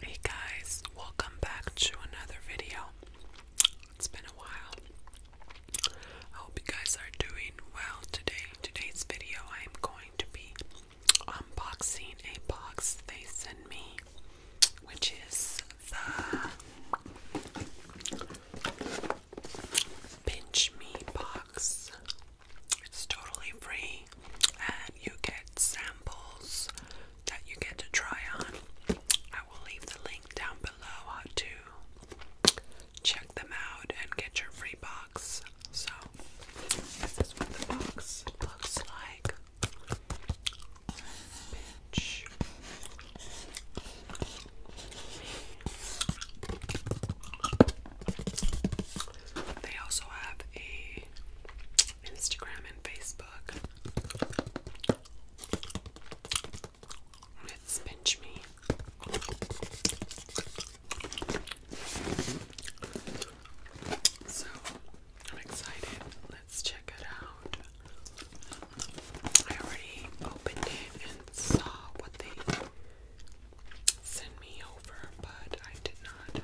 Hey guys, welcome back to another video. It's been a while. I hope you guys are doing well today. Today's video, I am going to be unboxing a box they sent me, which is the Pinch Me box. It's totally free, and you get samples that you get to try on. I will leave the link down below uh, to check them out and get your free box. So, this is what the box looks like. They also have a Instagram and Facebook. Let's pinch me. So I'm excited. Let's check it out. I already opened it and saw what they send me over, but I did not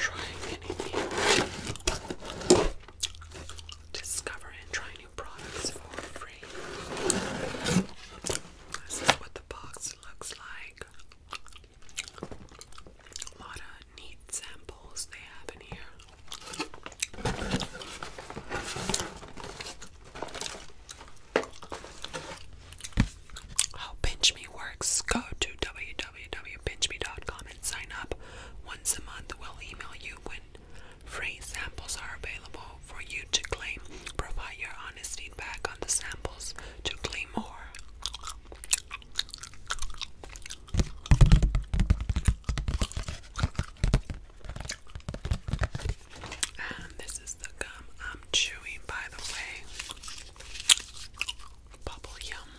try anything. Discover and try new products for free. This is what the box looks like. A lot of neat samples they have in here. How Pinch Me works, go to www.pinchme.com and sign up. Once a month, we'll email you when free samples are available for you to claim. Provide your honest feedback on the samples to claim more. And this is the gum I'm chewing, by the way. Bubble yum.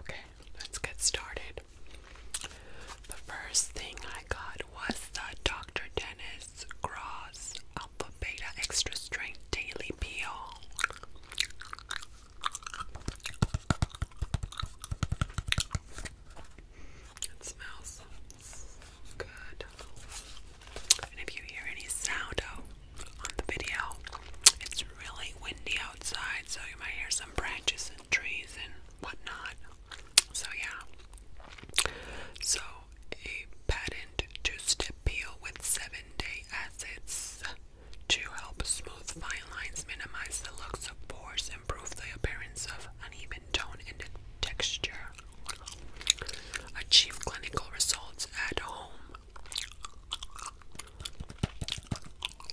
Okay, let's get started. The first thing I got was the Dr. Dennis Stress Alpha Beta Extra Strength Daily Peel. It smells good. And if you hear any sound on the video, it's really windy outside, so you might hear some branches and trees and whatnot. So, yeah. So, a patent two-step peel with seven-day acids to help smooth fine lines, minimize the looks of pores, improve the appearance of uneven tone and texture. Achieve clinical results at home.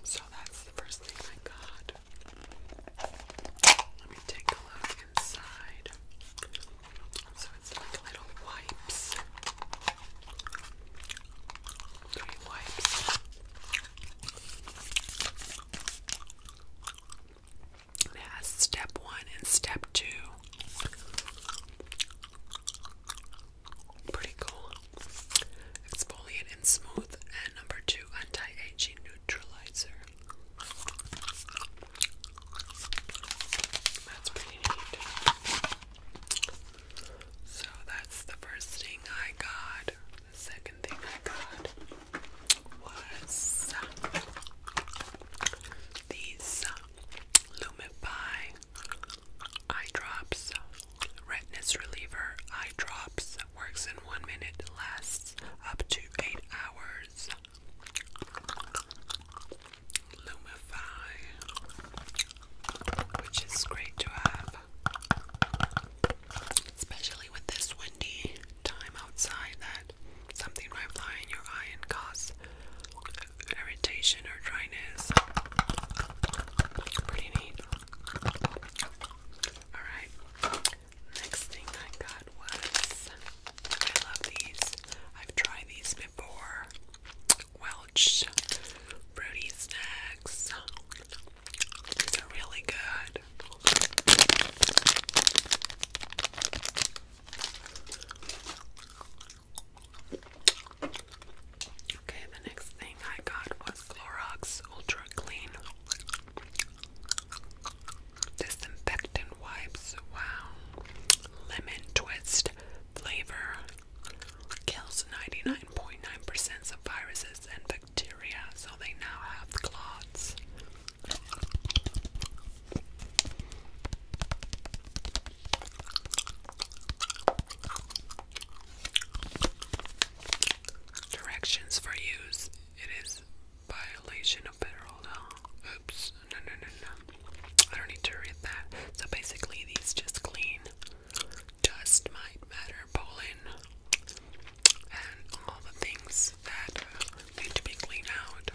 So that's the first thing I got. Let me take a look inside. So it's like little wipes. Three wipes. step one and step two. Pretty cool. Exfoliant and smooth. And number two, anti-aging neutralizer. That's So that's the first thing I got. The second thing I got was these Lumify eye drops, redness reliever eye drops. Works in one minute, lasts up to eight hours. Lumify, which is great to have, especially with this windy time outside that something might fly in your eye and cause irritation or dryness. Pretty neat. Alright, Next thing I got was I love these. I've tried these before. Welch's fruity snacks. These are really good. Okay, the next thing I got was Clorox Ultra Clean disinfectant wipes. Wow, lemon twist flavor kills 99.9% percent of viruses and bacteria, so they now have clots. Directions for use. It is violation of federal law. Oops, no, no, no, no. I don't need to read that. So basically, these just clean dust, might matter, pollen, and all the things that uh, need to be cleaned out.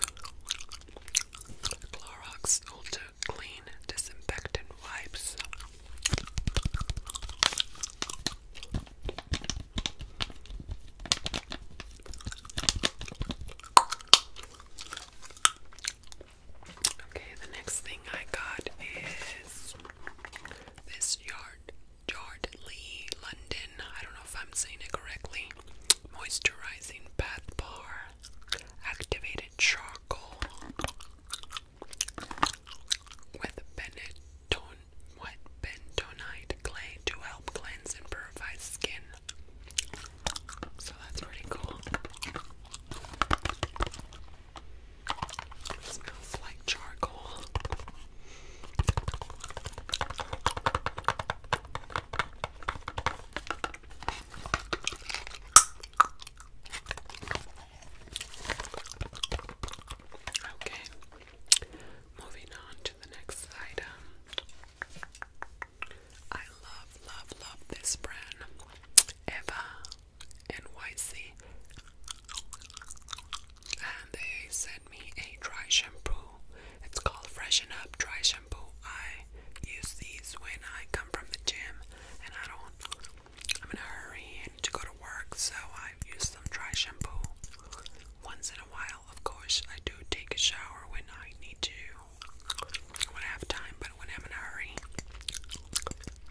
Clorox Ultra Clean Disinfectant Wipes. Okay, the next thing I got is this yard Yardley London. I don't know if I'm saying it correctly. Moisturizing bath bar, activated charcoal with bentonite clay to help cleanse and purify skin. So that's pretty cool. smells like charcoal. Okay, moving on to the next item. I love, love, love this brand, Eva NYC. And they sent me a dry shampoo. It's called Freshen Up Dry Shampoo. I use these when I come from the gym and I don't I'm in a hurry and to go to work, so I use some dry shampoo. Once in a while, of course, I do take a shower when I need to, when I have time, but when I'm in a hurry,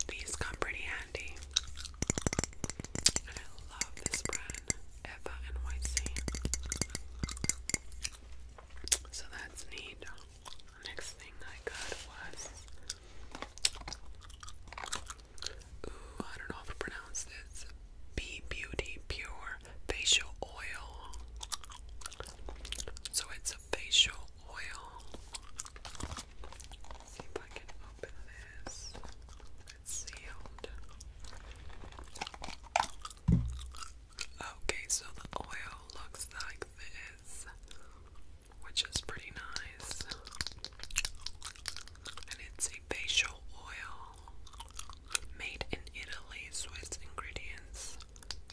these come pretty handy. I love this brand, Eva NYC. So that's neat. Next thing I got was Ooh, I don't know how to pronounce this. Be Beauty Pure Facial Oil. So it's a facial oil. see if I can open this. It's sealed. Okay, so the oil looks like this which is pretty nice. And it's a facial oil made in Italy, Swiss ingredients.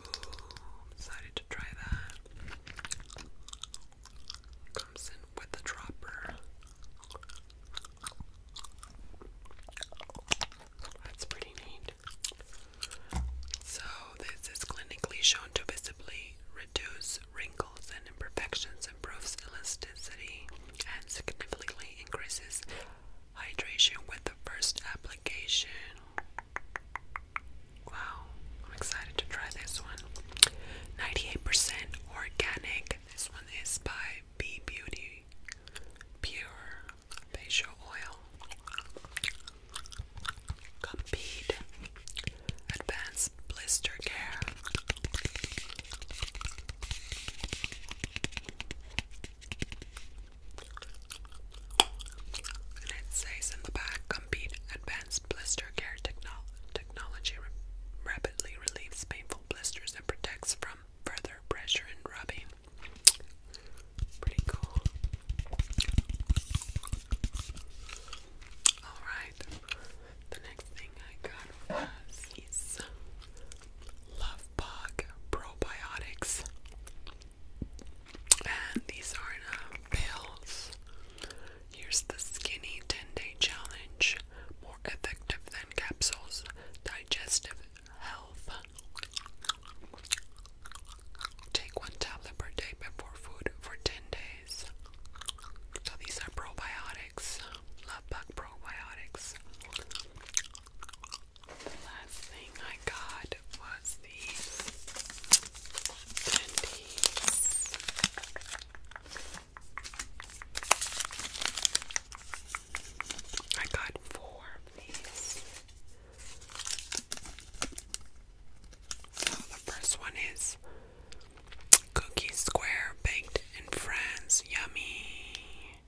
Ooh, excited to try that. Comes in with a dropper. That's pretty neat. So this is clinically shown to visibly reduce wrinkles and imperfections, improves elasticity, and significantly increases hydration with the first application. Wow, I'm excited to try this one. 98% organic. This one is by B Beauty Pure Facial Oil. Compete Advanced Blister Care. it says in the back, Compete Advanced Blister Care technology rapidly relieves painful blisters and protects from further pressure and rubbing. Pretty cool. Alright, the next thing I got was these Probiotics. And these are in pills. Here's the skinny 10 day challenge. More effective than capsules. Digestive health. Take one tablet per day before food for 10 days. So these are probiotics, Love Bug probiotics. The last thing I got was these I got four of these. So the first one is Cookie Square Baked in France. Yummy.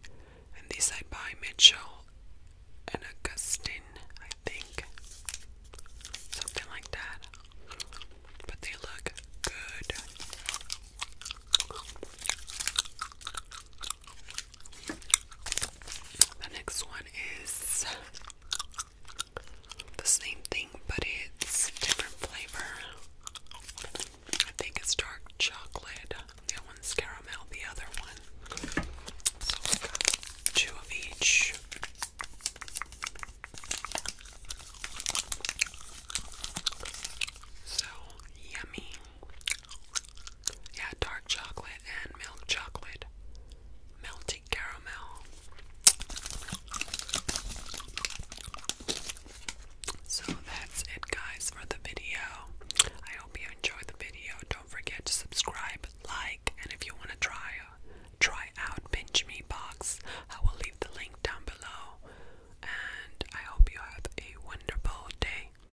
And these I buy Mitchell and Augustine, I think. Something like that. But they look good. The next one is the same thing, but it's different flavor. I think it's dark chocolate. That one's caramel, the other one. So I've got two of each. So yummy. Yeah, dark chocolate and milk chocolate. Melty caramel. So that's it, guys, for the video. I hope you enjoyed the video. Don't forget to subscribe, like, and if you want to try, uh, try out Pinch Me Box, I will leave the link down below. And I hope you have a wonderful day.